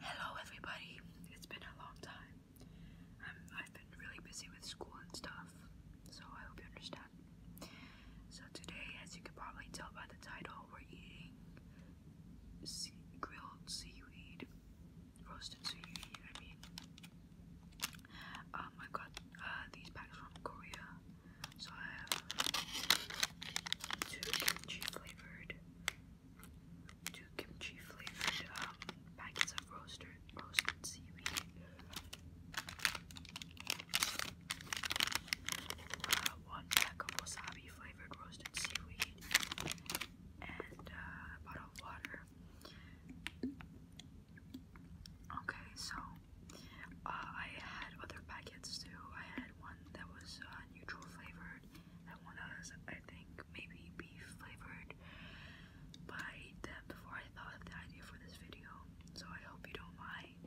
Hello everybody. It's been a long time. Um, I've been really busy with school and stuff, so I hope you understand. So today, as you can probably tell by the title, we're eating sea grilled seaweed, roasted seaweed. I mean, um, I got uh, these packs from Korea, so I have two kimchi flavored two kimchi flavored um, packets of roasted roasted seaweed. Uh, one pack of wasabi flavored roasted seaweed and uh, a bottle of water. Okay, so uh, I had other packets too. I had one that was neutral flavored, that one was, I think, maybe beef flavored. By I them before I thought of the idea for this video, so I hope you don't mind.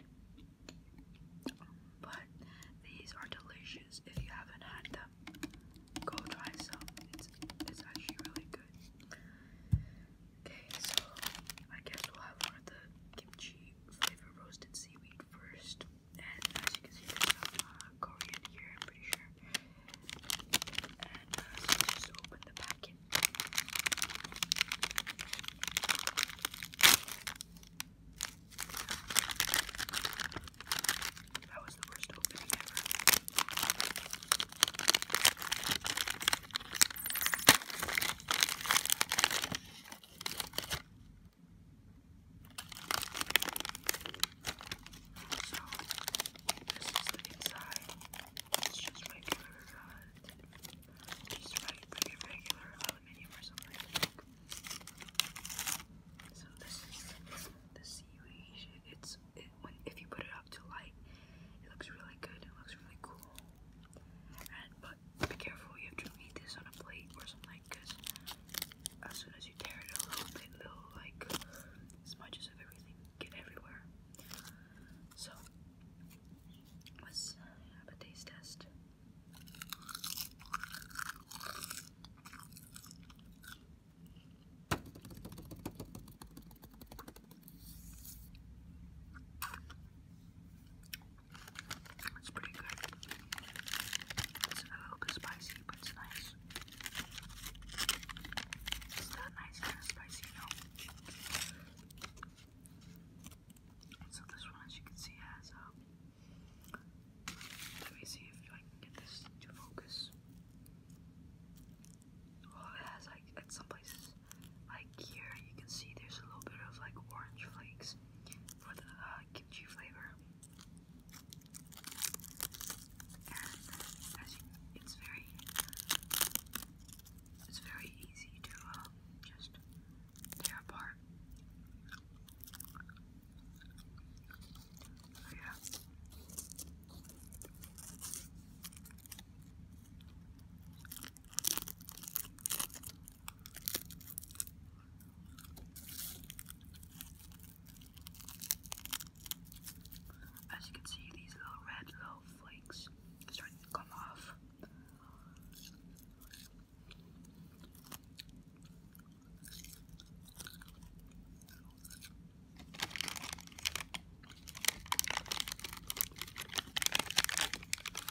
but these are delicious. If you haven't had them, go try some. It's actually really good. Okay, so I guess we'll have one of the kimchi flavor roasted seaweed first. And as you can see, there's some Korean here, I'm pretty sure. And uh, so just open the packet. That was the worst opening so, this is the inside. It's just regular, uh, these regular aluminium or something. So this is the seaweed. It's when if you put it up to light, it looks really good. It looks really cool. But be careful, you have to eat this on a plate or something, as soon as you tear it a little little like smudges of everything get everywhere. So let's uh, have a taste test. It's pretty good. It's a little bit spicy, but it's nice. It's not nice and spicy, so this one, as you can see, has a. Um, let me see if I can get this to focus. Well, it has like at some places, like here, you can see there's a little bit of like orange flakes, for the uh, kimchi flavor. And as you, it's very, it's very easy to uh, just tear apart. Oh, yeah. As you can see, these little red little flakes starting to come off.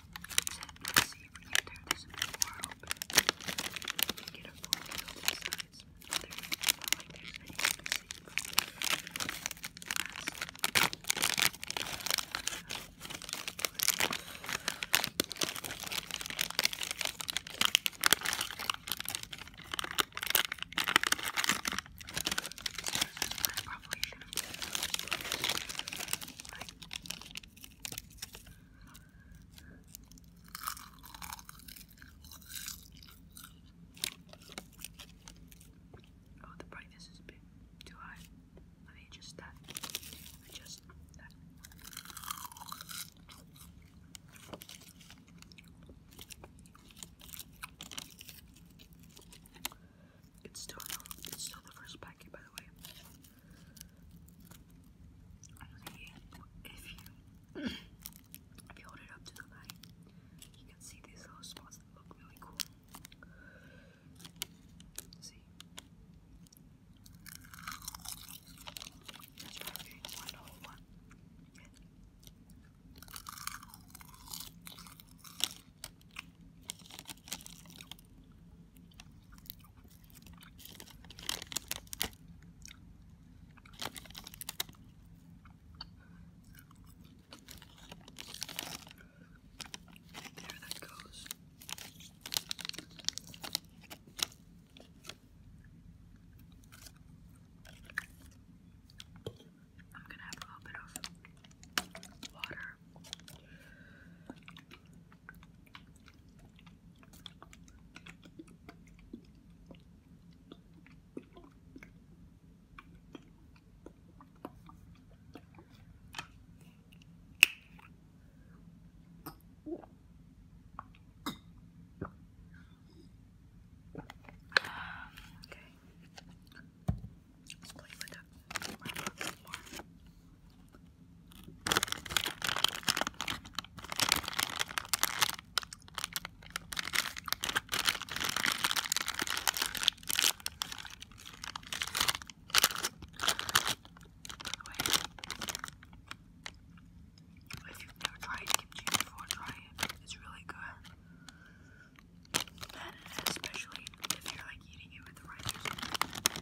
So let's see if we can tear this more open. Get a full view of the sides. There you go. Not like there's anything to see. I probably should have done like, Oh, the brightness is too high. Let me adjust Adjust that. It's still it's still the first packet, by the way. if you if you hold it up to the light, you can see these little spots that look really cool. See. There that goes. I'm gonna have a little bit of water. Um, okay play If you've never tried kimchi before, try it. It's really good. And especially if you're like eating it with the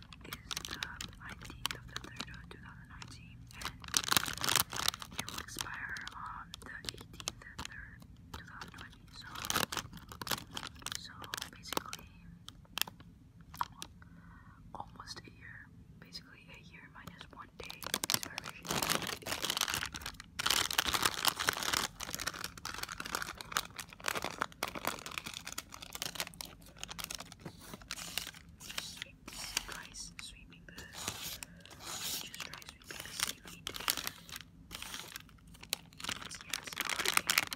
is the 19th of the 3rd of 2019 and it will expire on the 18th of the 3rd, 2020. So, so basically, almost a year. Basically, a year minus one day sweep, try sweeping the, just try sweeping the seaweed together. It's, yeah, it's not working.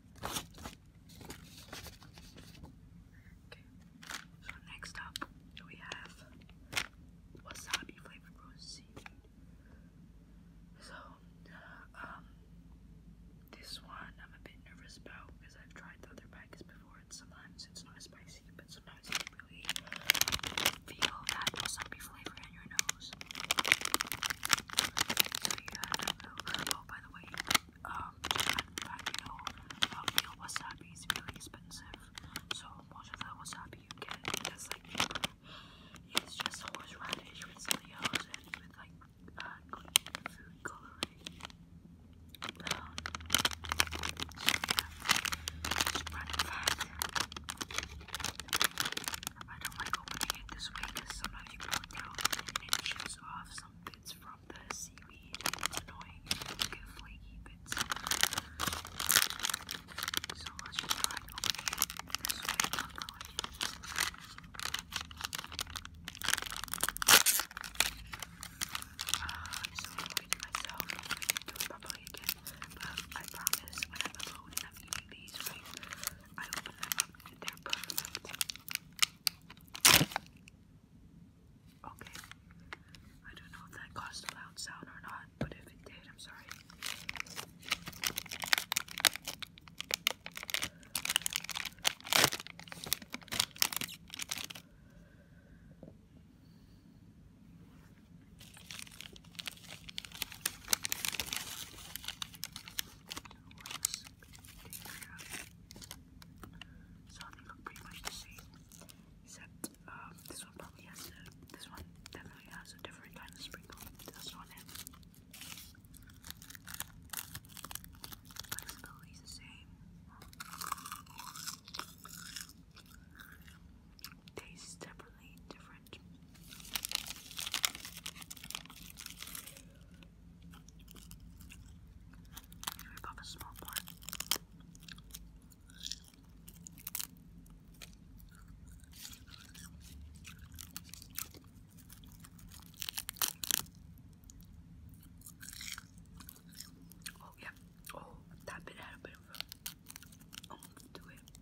Okay, so next up we have wasabi flavored roast So, um, this one I'm a bit nervous about because I've tried the other packets before and sometimes it's not spicy, but sometimes you really feel that wasabi flavor in you oh by the way, you know, uh, wasabi is really expensive. So most of the wasabi you get, that's like, it's just horseradish with something and with like, uh, food coloring. I don't like opening it this way because sometimes you pull it down and it chips off some bits from the seaweed. It's annoying and flaky bits. So let's try opening it this way properly. Uh, I'm so myself I didn't it properly again. But I promise I'm alone and i these, right, they're perfect. Okay. I don't know if that caused a loud sound or not, but if it did, I'm sorry. So they look pretty much the same, except um, this one probably has a, this one definitely has a different kind of sprinkle. This one has. Tastes definitely different different. Here a small one. Oh yeah. Oh, that bit had a bit of a oomph it.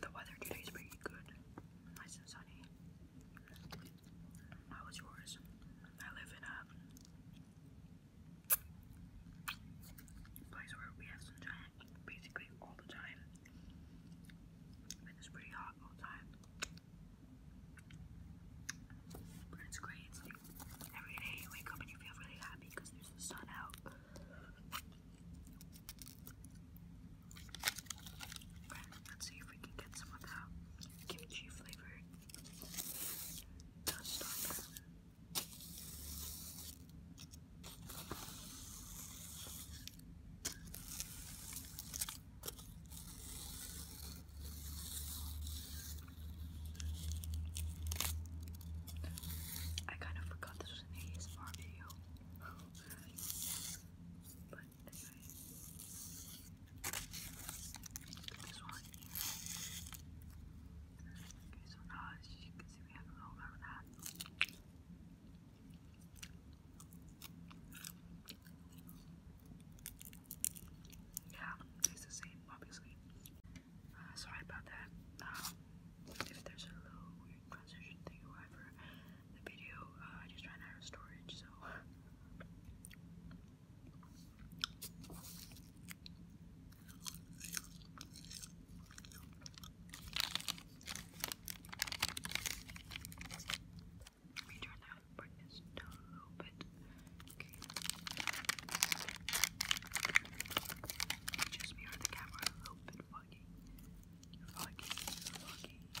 The weather today is pretty good. Nice and sunny. How was yours? I live in a place where we have some basically all the time. But it's pretty hot all the time. But it's great. It's like every day you wake up and you feel really happy because there's the sun out. let's see if we can get some of that kimchi flavored dust I kind of forgot this was an ASMR video. but anyway. This one. Okay, so now as you can see we have a little bit of that. Yeah, tastes the same, obviously. Uh, sorry about that. Um, if there's a little weird transition thing or the video uh, I just ran out of storage, so. Let me turn that brightness down a little bit. Okay. Just mirror the camera a little bit foggy. Foggy, foggy. Okay.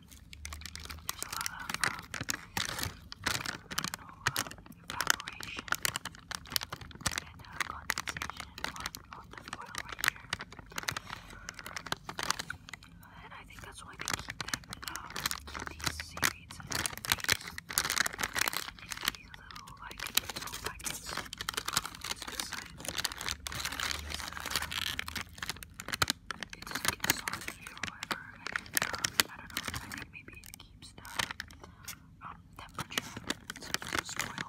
There's a lot evaporation and uh, condensation on, the foil right here. And I think that's why they keep them, in these little, like, little packets it's like softer or whatever. I don't know. maybe it keeps the temperature so it doesn't spoil.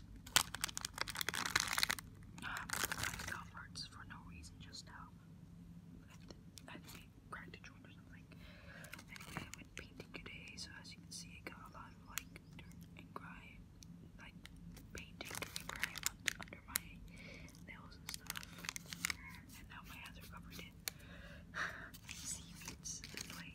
Um, I got parts for no reason just now. I cracked a joint or something. Anyway, I went painting today, so as you can see, I got a lot of like dirt and grime, like painting and grime under my nails and stuff. And now my hands are covered in seaweeds and like.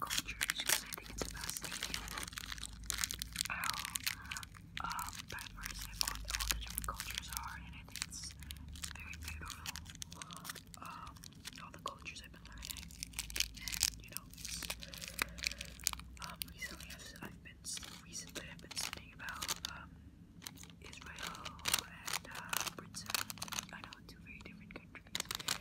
cultures because I think it's fascinating how diverse all, all the different cultures are, and it's, very beautiful. all the cultures I've been learning, you know, recently I've been recently I've been studying about Israel and Britain. I know two very different countries.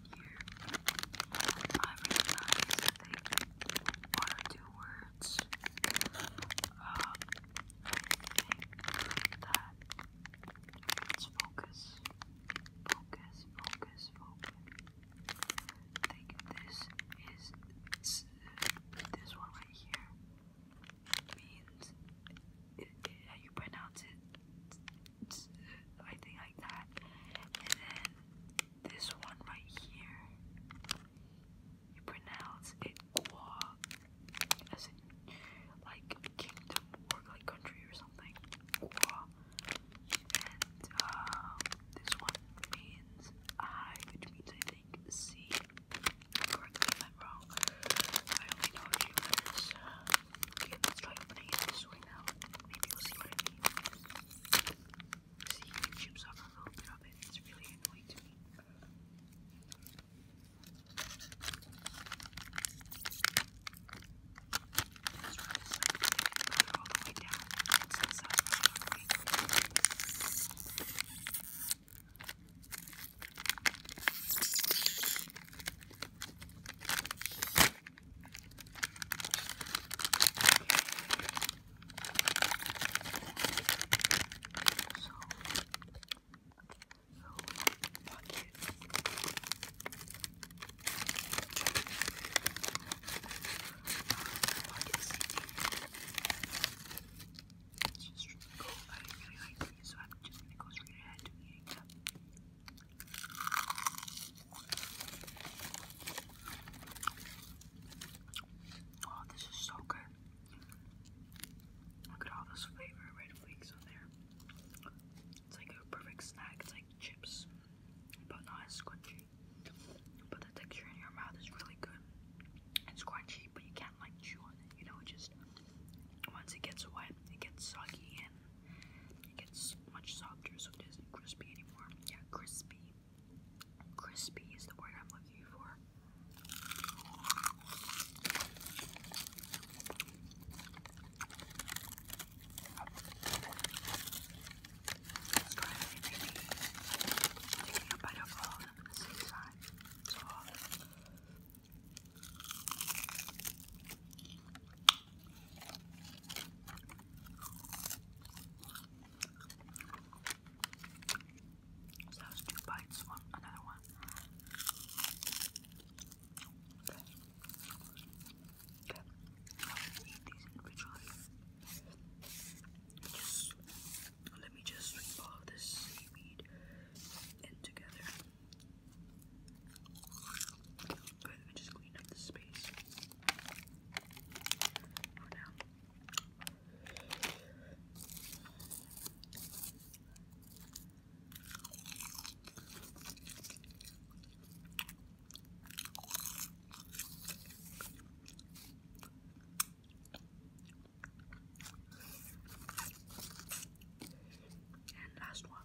I recognize, I one or two words. Uh, think that focus, focus, focus, focus. think this is, this one right here means you pronounce it, I think like that. And then this one right here, you pronounce it gua, as in like kingdom or like country or something. Gua. And um, this one means I, which means I think C. if I'm wrong. I only know a Okay, let's try putting it this way now. Maybe you'll see what I mean. See, it chips off a little bit of it. It's really annoying to me. Let's run this way. Put it all the way down. It's this side all the way. It's just really cool. I really like these, so I'm just gonna go straight ahead to eating them. Oh, this is so good. Look at all this flavor red flakes on there. It's like a perfect snack. It's like chips, but not as squishy. But the texture in your mouth is really good. It's crunchy, but you can't like chew on it. You know, just once it gets wet, it gets soggy and it gets much softer, so it isn't crispy anymore. Yeah, crispy. Crispy is the word I'm looking for. So that was two bites, one another one. Okay. Okay. I'm gonna these individually. Just let me just sweep this seaweed in together let me just clean up the space for now. And last one.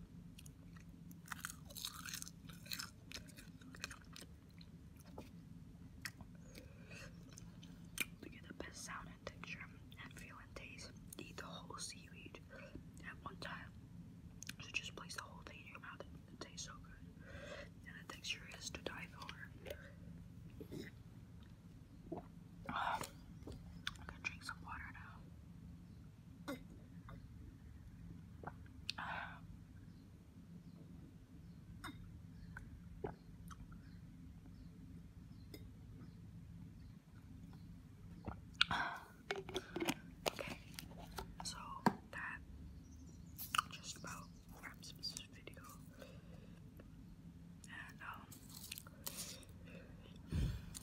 To get the best sound and texture and feel and taste, eat the whole seaweed at one time. So just place the whole thing in your mouth it tastes so good. And the texture is to die I'm gonna drink some water now. okay, so that just about wraps up this video. And, um,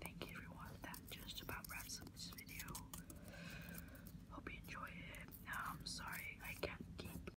Thank you everyone. That just about wraps up this video. Hope you enjoy it. I'm um, sorry I can't keep